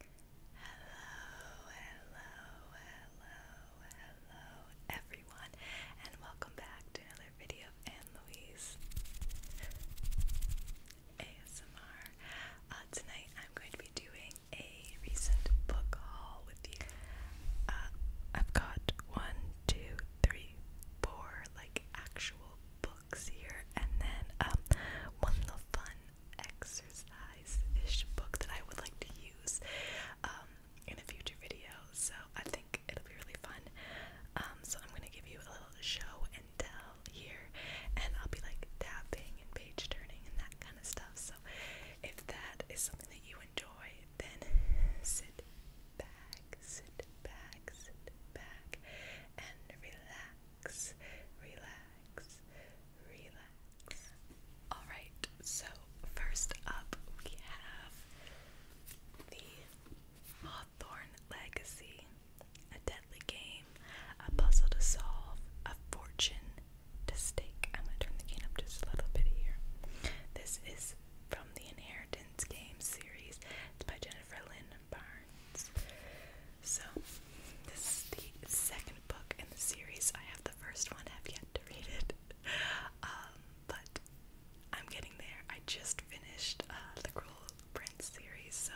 Hello, hello, hello, hello, everyone, and welcome back to another video Anne Louise ASMR. Uh, tonight, I'm going to be doing a recent book haul with you. Uh, I've got one, two, three, four like actual books here, and then um, one of the fun exercise-ish book that I would like to use um, in a future video. So I think it'll be really fun. Um, so I'm gonna give you a little show and tell here, and I'll be like tapping and page turning and that kind of stuff. So if that is something that you enjoy, then sit back, sit back, sit back, and relax, relax, relax. Alright, so first up we have the Hawthorne Legacy, a deadly game, a puzzle to solve, a fortune to stake. I'm going to turn the game up just a little bit here. This is from the Inheritance. Women's Game series. It's by Jennifer Lynn Barnes. So, this is the second book in the series. I have the first one, have yet to read it. Um, but I'm getting there. I just finished uh, the Cruel Prince series, so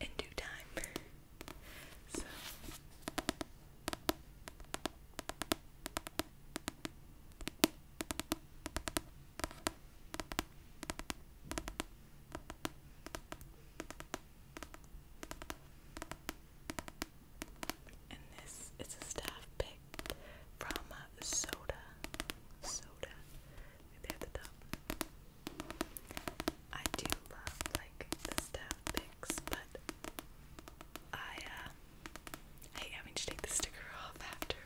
in due time. so. And this is a staff pick from uh, Soda. Soda. Right there at the top. I do love like the staff picks, but I uh, I hate having to take the sticker off after.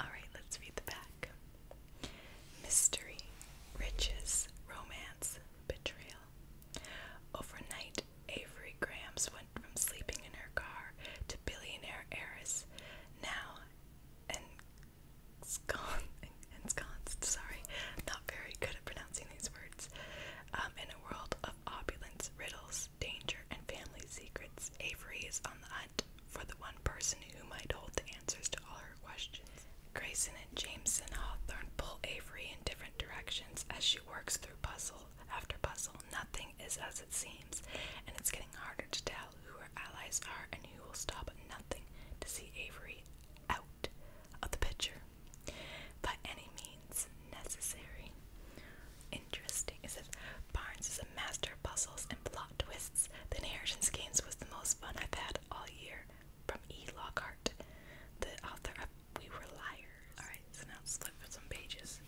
Alright, let's read the back. Mystery, riches, romance, betrayal. Overnight, Avery Grams went from sleeping in her car to billionaire heiress. Now, and ensconced, sorry, not very good at pronouncing these words. Um, in a world of opulence, riddles, danger, and family secrets, Avery is on the hunt for the one person who might hold the answers to all her questions. Grayson and Jameson Hawthorne pull Avery in different directions as she works through puzzle after puzzle. Nothing is as it seems, and it's getting harder to tell who her allies are and who will stop nothing to see Avery out of the picture by any means necessary. Interesting. It if Barnes is a master of puzzles and plot twists. The Inheritance Games was the most fun I've had all year. From E. Lockhart, the author of We Were Liars. Alright, so now let's flip some pages.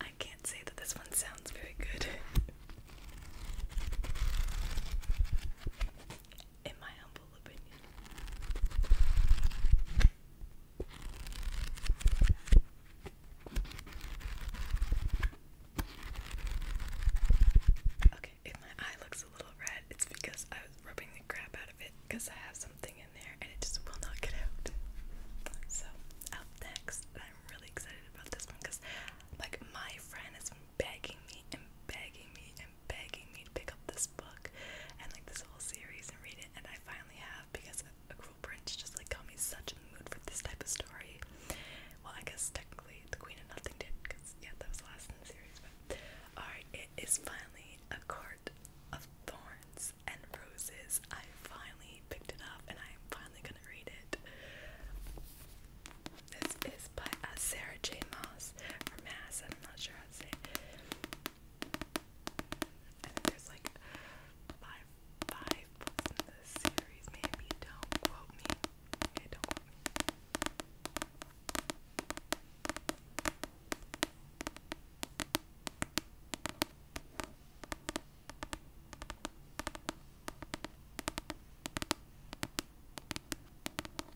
I can't say that this one sounds very good. In my humble opinion. Okay, if my eye looks a little red, it's because I was rubbing the crap out of it because I have something in there and it just will not get out. So, up next, I'm really excited about this one because, like, my friend has begging me and begging me begging me to pick up this book and like this whole series and read it, and I finally have because A Cruel Prince just like got me such a mood for this type of story. Well, I guess technically The Queen of Nothing did because yeah, that was the last in the series. But alright, it is finally A Court of Thorns and Roses. I finally picked it up and I am finally gonna read it. This is by uh, Sarah J. Moss, or Mass, I'm not sure how to say it. I think there's like five five books in the series, maybe don't quote me. don't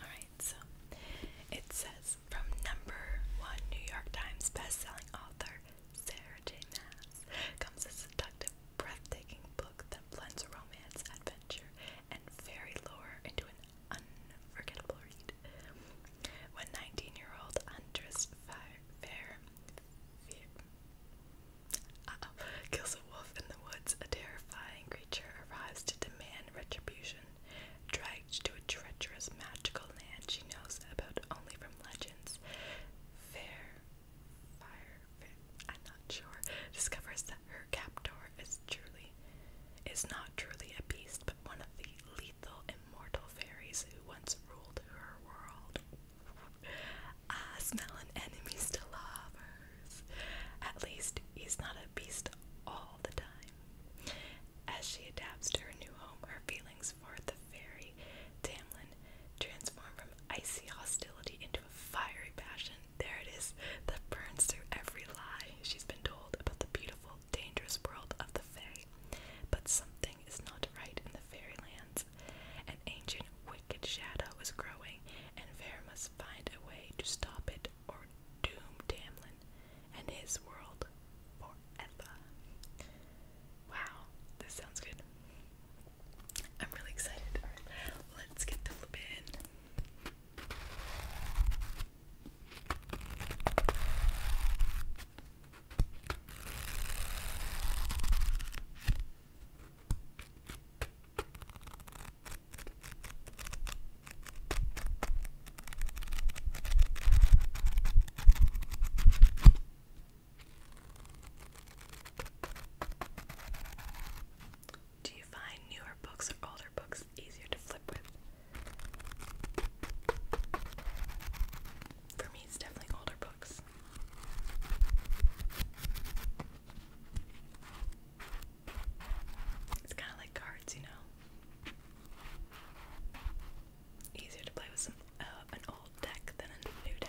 Alright, so it says from number one New York Times bestselling author Sarah J. Maas comes a seductive, breathtaking book that blends romance, adventure, and fairy lore into an unforgettable read when 19-year-old Andres Fair, kills a wolf in the woods, a terrifying creature arrives to demand retribution, dragged to a treacherous magical land she knows about only from legends. Fair, I'm not sure, discovers that her captor is truly, is not truly a beast, one of the lethal immortal fairies who once ruled her world. I ah, smell enemies to lovers. At least he's not a beast all the time. As she adapts to her new home, her feelings for the fairy Tamlin transform from icy hostility into a fiery passion. There it is, that burns through every lie she's been told about the beautiful dangerous world of the Fae. But something is not right in the fairylands. An ancient, wicked shadow is growing, and Vera must find a way to stop it or doom Tamlin and his world forever. Wow, this sounds good. I'm really excited. let's get the flip in. Do you find newer books or older books easier to flip with? For me, it's definitely older books. It's kind of like cards, you know. Easier to play with uh, an old deck than a new deck.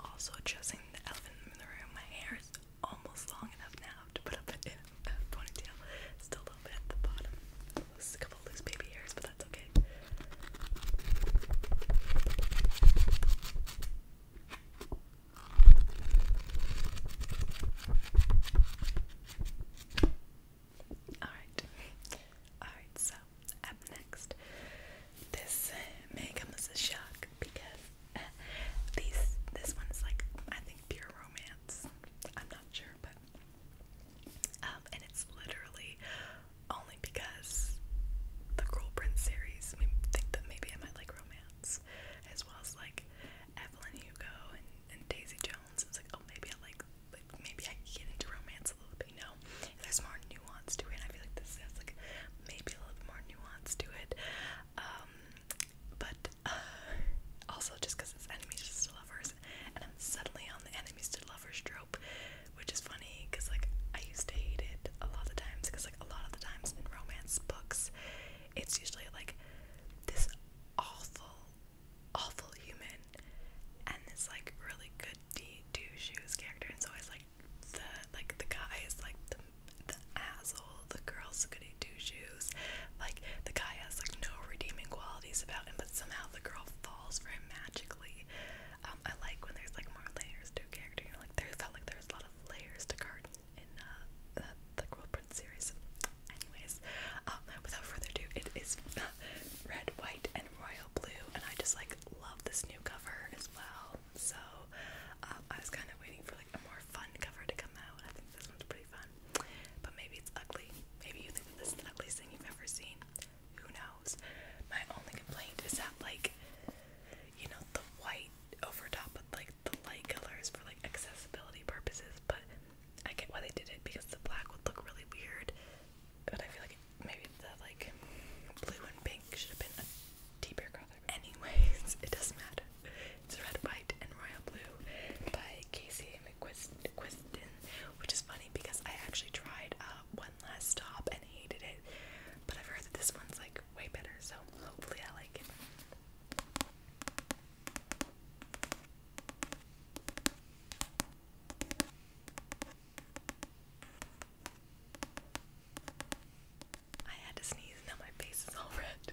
Also, dressing the elephant in the room, my hair is almost long enough now to put up a, ponytail, still a little bit at the bottom loose, a couple loose baby hairs, but that's okay. Alright, alright, so up next, this may come as a shock because uh, this one is like, I think, pure romance. I'm not sure, but um, and it's literally only because the Cruel series, I mean, think that maybe I might like romance, as well as like Evelyn Hugo and, Daisy Jones. I was like, oh, maybe I like, maybe I can get into romance a little bit, you there's more nuance to it, and I feel like this has like maybe a little bit more nuance to it. Um, but uh, also just because it's enemies to lovers, and I'm suddenly on the enemies to lovers trope, which is funny because like I used to hate it a lot of the times because like a lot of the times in romance books, it's usually like this awful, awful human and this like really good D two shoes character, and so it's like the like the guy is like the the asshole, the girl's goody two shoes, like the guy has like no redeeming qualities about him, but somehow the girl magically. Um, I like when there's like more layers to a character. You know, like there felt like there's a lot of layers to Cardin in uh, the, the World series. Anyways, um, without further ado, it is red, white, and royal blue, and I just like love this new cover as well. So um, I was kind of waiting for like a more fun cover to come out. I think this one's pretty fun. But maybe it's ugly. Maybe you think this is the ugliest thing you've ever seen. Who knows? My only complaint is that like you know, the white over top of like the light colors for like accessibility purposes, but I get why they did it because the black would look really weird. But I feel like maybe the like blue and pink should have been a deeper color. Anyways, it doesn't matter. It's Red, White, and Royal Blue by Casey which is funny because I actually tried uh, one last stop and hated it, but I've heard that this one's like way better, so hopefully I like it. I had to sneeze, now my face is all red.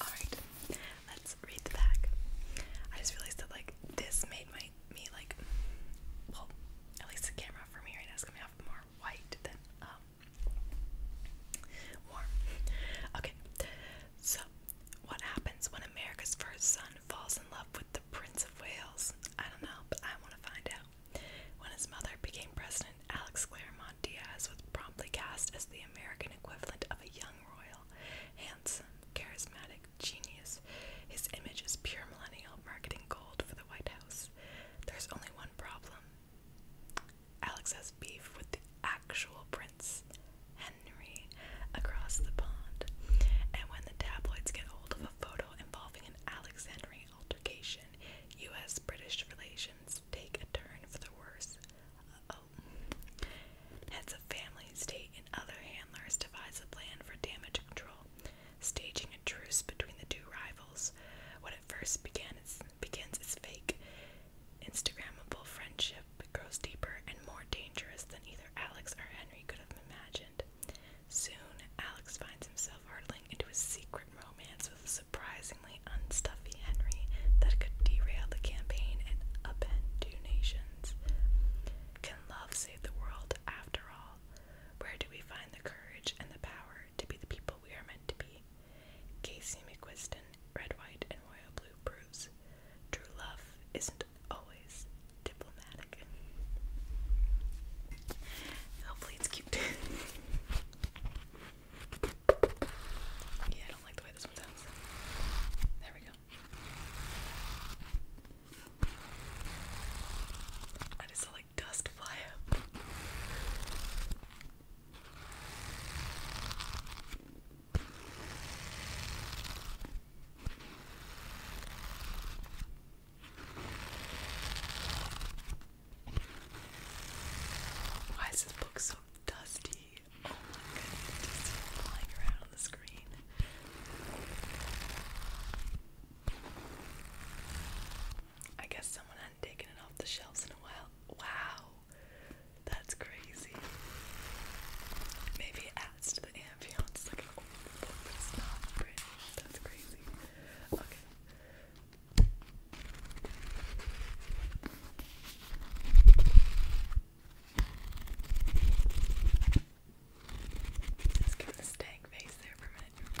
Alright, let's read the back. I just realized that like this made my me like well, at least the camera for me right now is coming off more white than um warm. Okay. So what happens when America's first son falls in love with the Prince of Wales? I don't know, but I want to find out. When his mother became president, Alex Claremont Diaz was promptly cast as the American equivalent of a young royal, handsome, charismatic genius. His image is pure millennial marketing gold for the White House. There's only one problem. Alex has beef with the actual prince, Henry, across the pond. And when the tabloids get hold of photo involving an Alexandrian altercation, U.S. British relations take a turn for the worse. Heads of families, state, and other handlers devise a plan for damage control, staging a truce between the two rivals. What at first begins as fake, Instagrammable friendship grows deeper and more dangerous than either Alex or Henry could have imagined. Soon, Alex finds himself hurtling into a secret romance with a surprisingly unstuffy Henry that could derail the campaign and upend two nations. Can love save the world after all? Where do we find the courage and the power to be the people we are meant to be? Casey McQuiston, Red, White, and Royal Blue proves true love isn't always diplomatic. Hopefully it's cute. yeah, I don't like the way this one sounds. There we go. I just saw like dust fly up. Why is this book so dusty? Oh my goodness, just flying around on the screen. I guess someone hadn't taken it off the shelves in a while. Wow, that's crazy. Maybe adds to the ambiance. Like, oh, but it's not pretty. That's crazy. Okay. Let's give the stank face there for a minute.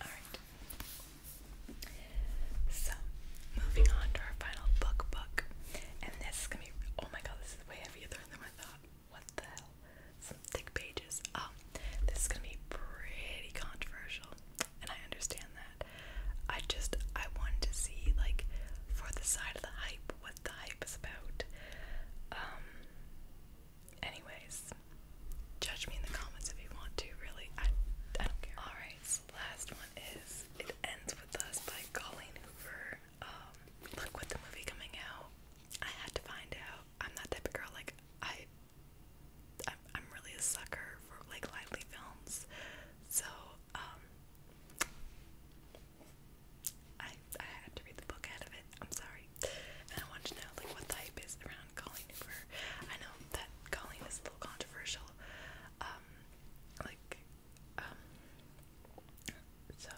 Alright. So, moving on to our final book book. And this is gonna be oh my god, this is way heavier than I thought. What the hell? Some thick pages. Um, this is gonna be pretty controversial, and I understand that. I just I wanted to see like for the side of the hype what the hype is about. Um Anyways, judge me in the comments if you want to, really. I, I don't care. Alright, last one is It Ends With Us by Colleen Hoover. Um, look, with the movie coming out, I had to find out. I'm that type of girl, like, I, I'm, I'm really a sucker for, like, lively films. So, um, I, I had to read the book out of it. I'm sorry. And I wanted to know, like, what hype is around around Colleen Hoover. I know that Colleen is a little controversial. Um, like, um, so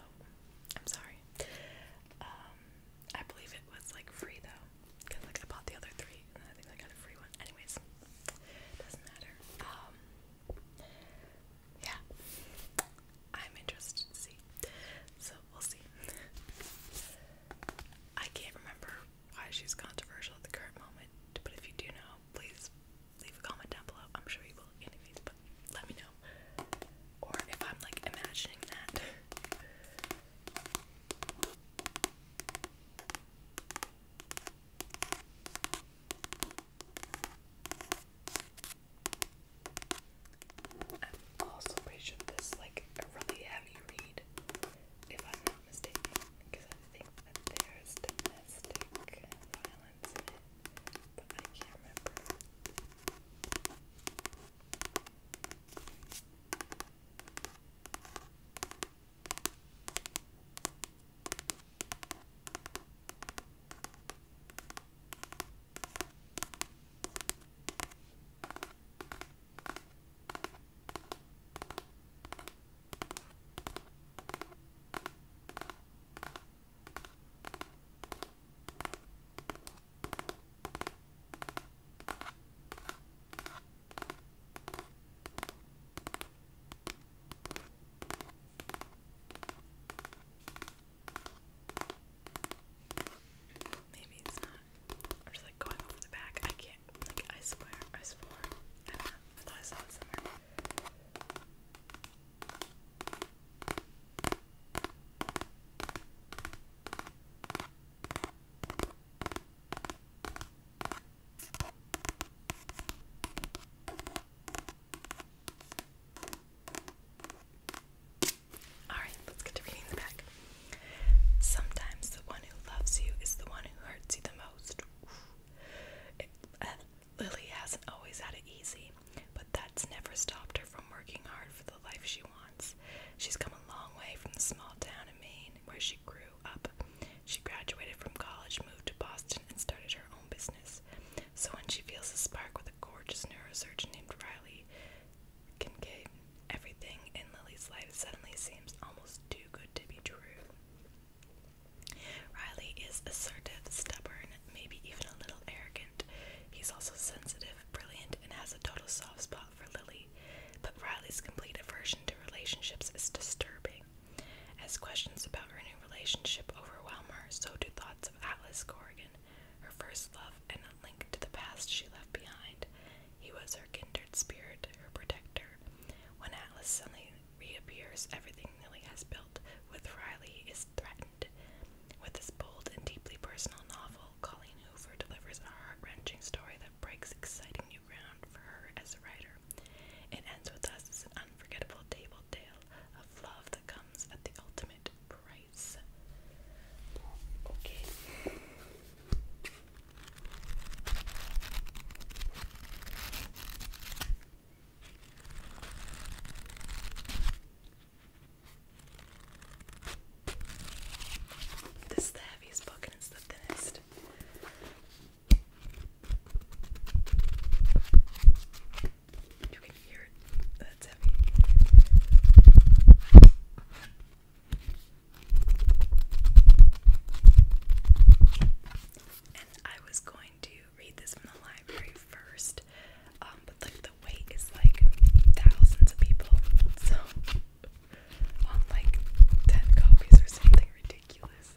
I'm sorry. Um, I believe it was like free though, because like I bought the other three and I think I got a free one. Anyways, doesn't matter. Um, yeah, I'm interested to see. So we'll see. I can't remember why she's controversial at the current moment, but if you do know, please leave a comment down below. I'm sure you will anyways, but let me know. Or if I'm like imagining that. I'm also pretty sure this like a really heavy married, if I'm not mistaken, because I think that there's domestic violence in it, but I can't remember. Maybe it's not I'm just like going over the back. I can't, like, I swear, I swore. I thought I saw it Alright, let's get to reading back. Sometimes the one who loves you is the one who hurts you the most. Uh, Lily hasn't always had it easy, but that's never stopped her from working hard for the life she wants. She's come a long way from the small town in Maine where she grew up. She graduated from college, moved to Boston, and started her own business. So when she feels a spark with a gorgeous neurosurge named Riley, Kincaid. Everything in Lily's life suddenly seems almost too good to be true. Riley is assertive, stubborn, maybe even a little arrogant. He's also sensitive, brilliant, and has a total soft spot for Lily. But Riley's complete aversion to relationships is disturbing. As questions about her new relationship overwhelm her, so do thoughts of Atlas Corrigan her first love, and a link to the past she left behind. He was her kindred spirit, her protector. When Atlas suddenly reappears, everything Lily has built with Riley is threatened. With this bold and deeply personal novel, Colleen Hoover delivers a heart wrenching story that breaks exciting new ground for her as a writer. It ends with us as an unforgettable tale of love that comes at the ultimate price. This is the heaviest book and it's the thinnest can hear That's heavy. And I was going to read this from the library first, um, but like the wait is like thousands of people, so on like ten copies or something ridiculous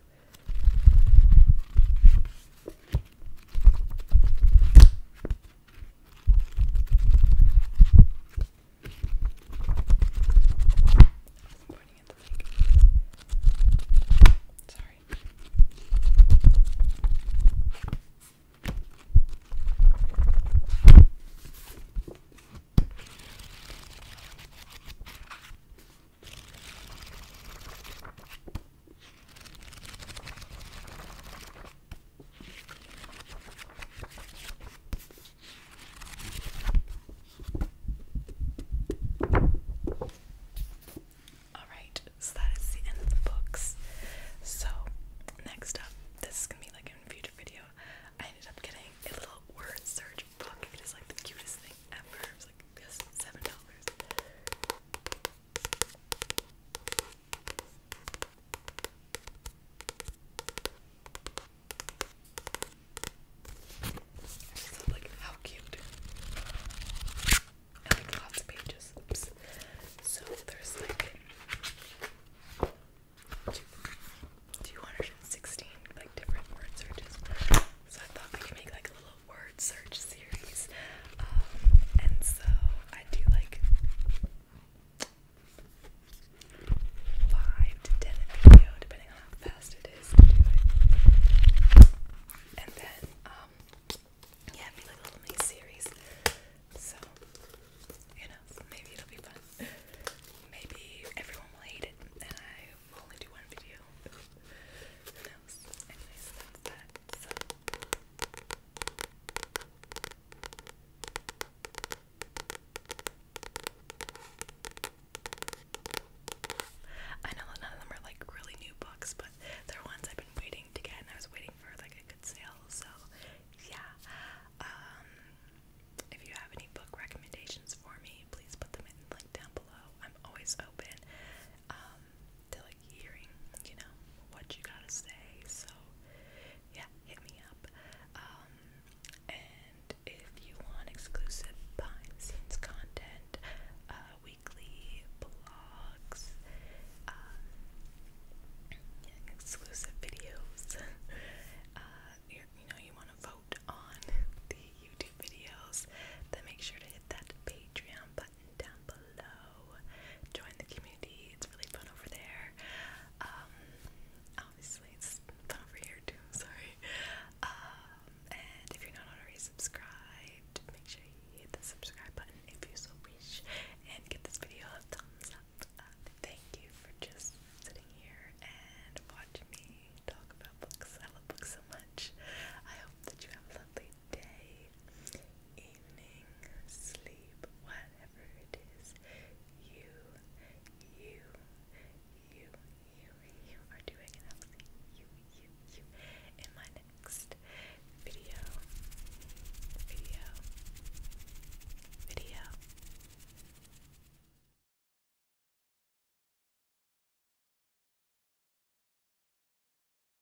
pointing at the mic. Sorry. Alright, so that is the end of the books. So, next up, this is gonna be like a future video. I ended up getting a little word search book. It is like the cutest thing ever. It was like just seven dollars. So like how cute. I like lots of pages. So there's like 216 like different word searches. So I thought I could make like a little word search series um, and so I do like five to ten a depending on how fast it is And then, um, yeah, a little mini series. So, you know, maybe it'll be fun. Maybe everyone will hate it, and I will only do one video. Who knows? Anyways, that's that. I know that of them are like really new books, but they're ones I've been waiting to get, and I was waiting for like a good sale. So, yeah. Um, if you have any book recommendations for me, please put them in the link down below. I'm always open, um, to like hearing, you know, what you gotta say. So yeah, hit me up. Um, and if you want exclusive behind scenes content, uh, weekly blogs, um, exclusive videos, uh, you know, you want to vote on the YouTube videos, then make sure to hit that Patreon down below. Join the community, it's really fun over there. Um, obviously, it's fun over here too, sorry. Um, and if you're not already subscribed, make sure you hit the subscribe button if you so wish and give this video a thumbs up. thank you for just sitting here and watching me talk about books. I love books so much. I hope that you have a lovely day, evening, sleep, whatever it is, you, you, you, you, you are doing I will see you, you, you in my next video, video, video.